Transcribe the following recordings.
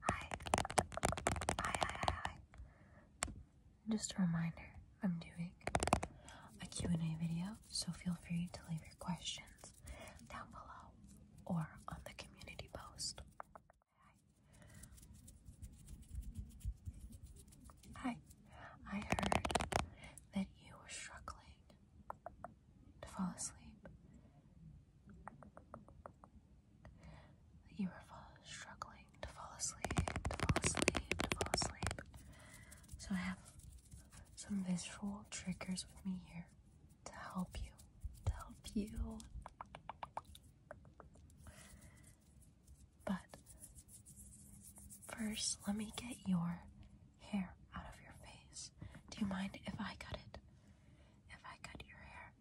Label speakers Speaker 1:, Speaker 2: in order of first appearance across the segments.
Speaker 1: Hi. Hi, hi, hi, Just a reminder, I'm doing a Q&A video, so feel free to leave your questions down below or on the community post. Hi. I heard that you were struggling to fall asleep you were struggling to fall asleep, to fall asleep, to fall asleep. So I have some visual triggers with me here to help you, to help you. But first, let me get your hair out of your face. Do you mind if I cut it? If I cut your hair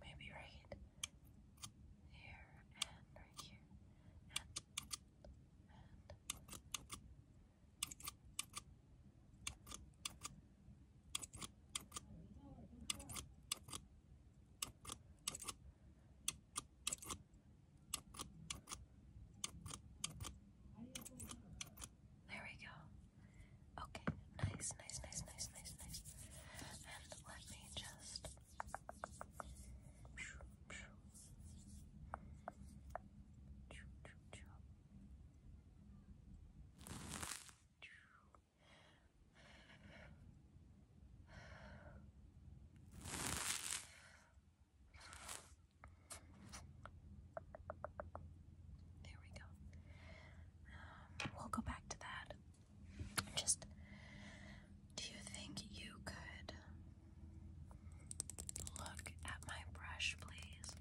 Speaker 1: Maybe right here and right here and there we go. Okay, nice, nice, nice, nice, nice, nice. And let me just. There we go. Um, we'll go back to that. Just do you think you could Look at my brush, please.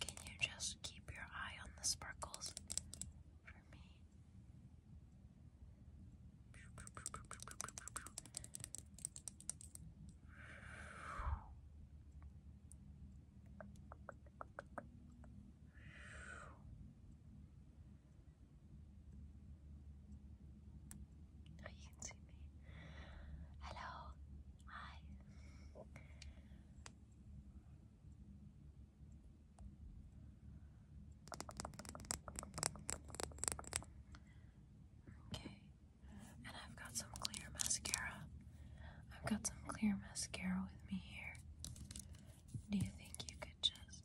Speaker 1: Can you just keep your eye on the sparkles for me? Oh, you can see me. Hello. Hi. Okay. And I've got some clear mascara. I've got some clear mascara with me here. Do you think you could just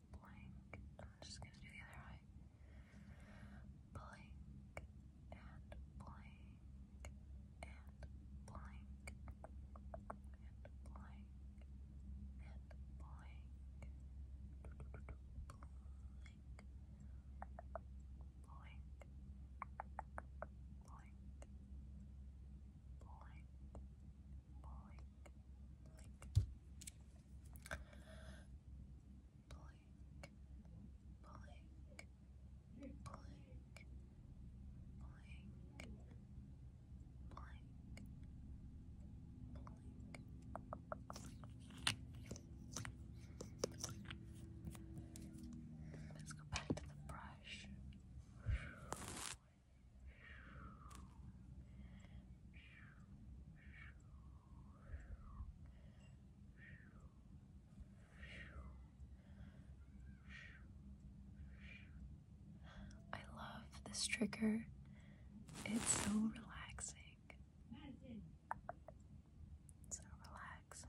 Speaker 1: blink. I'm just gonna do the other eye. Blink and blink and blink and blink and blink. Blink. Blink. Blink. Blink. Blink. Blink. Let's go back to the brush. I love this trigger. It's so relaxing. So relaxing.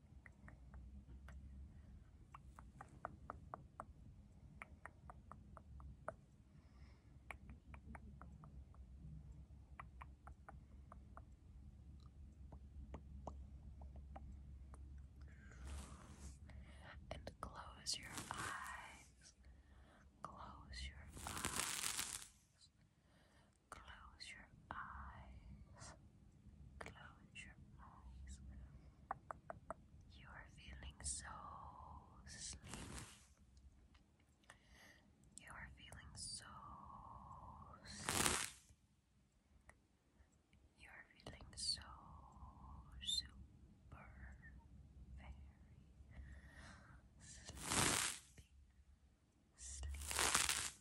Speaker 1: And close your eyes. Close your eyes. Close your eyes. Close your eyes. You are feeling so sleepy. You are feeling so You are feeling so super very sleepy. Sleepy,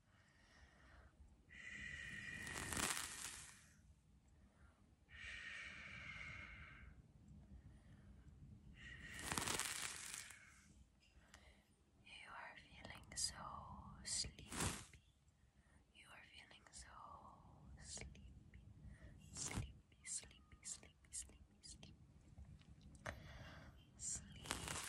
Speaker 1: You are feeling so sleepy. You are feeling so sleepy. Sleepy, sleepy, sleepy, sleepy, sleepy. Sleepy.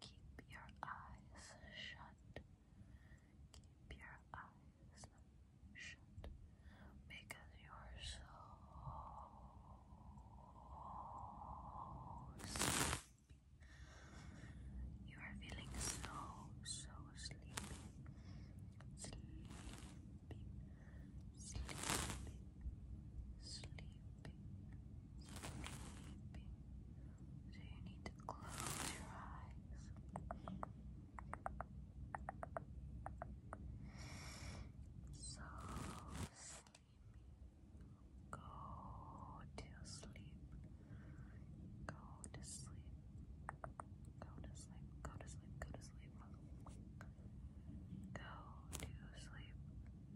Speaker 1: Keep your eyes shut. Keep your eyes shut because you are so sleepy. You are feeling so, so sleepy. Sleepy, sleepy, sleepy, sleepy. So you need to close your eyes. So sleepy. Go to sleep. Go to sleep. Go to sleep. Go to sleep. Go to sleep. Go to sleep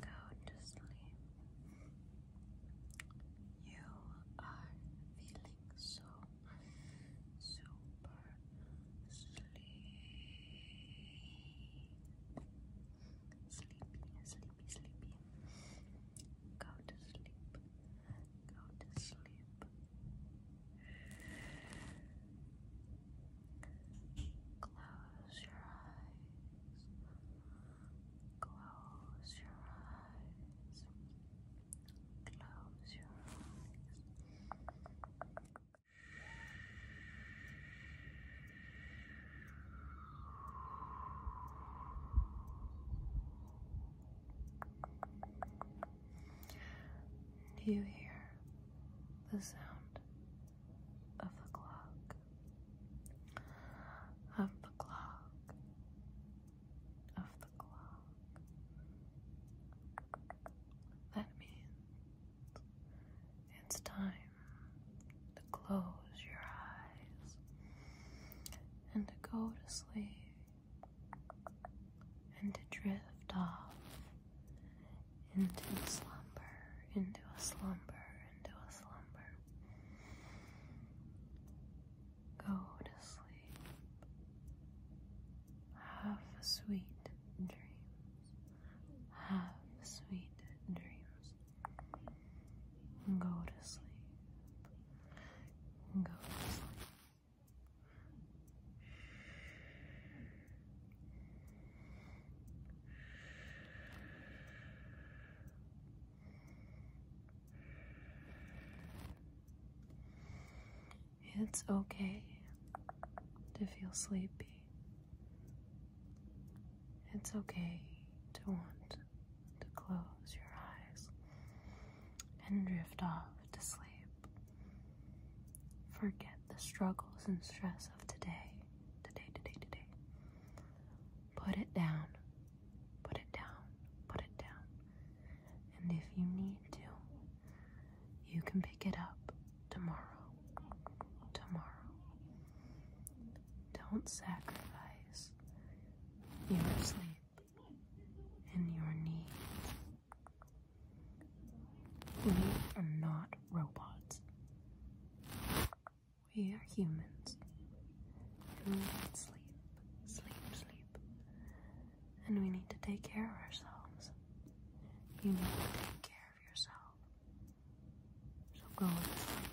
Speaker 1: Go to sleep. You are feeling so super sleepy. Sleepy, sleepy, sleepy. Go to sleep. Go to sleep. Close your eyes. Close your eyes. Close your eyes. Do you hear the sound of the clock? Of the clock, of the clock. That means it's time to close your eyes and to go to sleep and to drift off into slumber, into a slumber, into a slumber. Go to sleep. Have sweet dreams. Have sweet dreams. Go to sleep. Go to sleep. It's okay to feel sleepy. It's okay to want to close your eyes and drift off to sleep. Forget the struggles and stress of today, today, today, today. Put it down, put it down, put it down. And if you need to, you can pick it up tomorrow, tomorrow. Don't sacrifice your sleep and your needs. We are not robots. We are humans. And we need sleep, sleep, sleep. And we need to take care of ourselves. You need to take care of yourself. So go and sleep.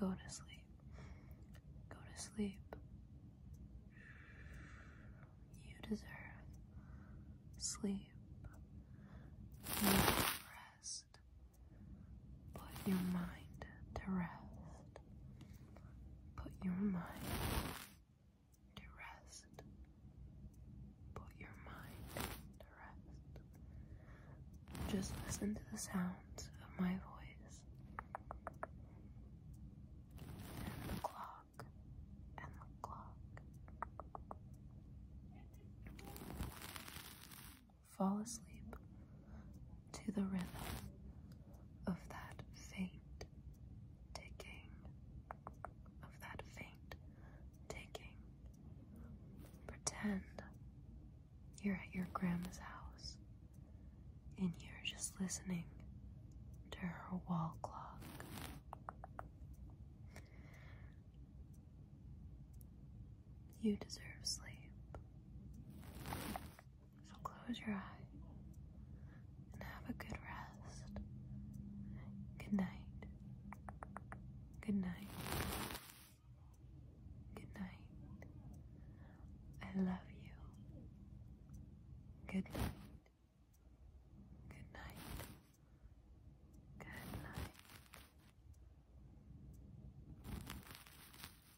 Speaker 1: Go to sleep. Go to sleep. Go to sleep. You deserve sleep. You deserve rest. Put your mind to rest. Put your mind to rest. Put your mind to rest. Just listen to the sounds of my voice and the clock and the clock. Fall asleep to the rhythm of that faint ticking, of that faint ticking. Pretend you're at your grandma's house and you're just listening to her wall clock. You deserve sleep. So close your eyes and have a good rest. Good night. Good night. Good night. I love you. Good night. Good night. Good night.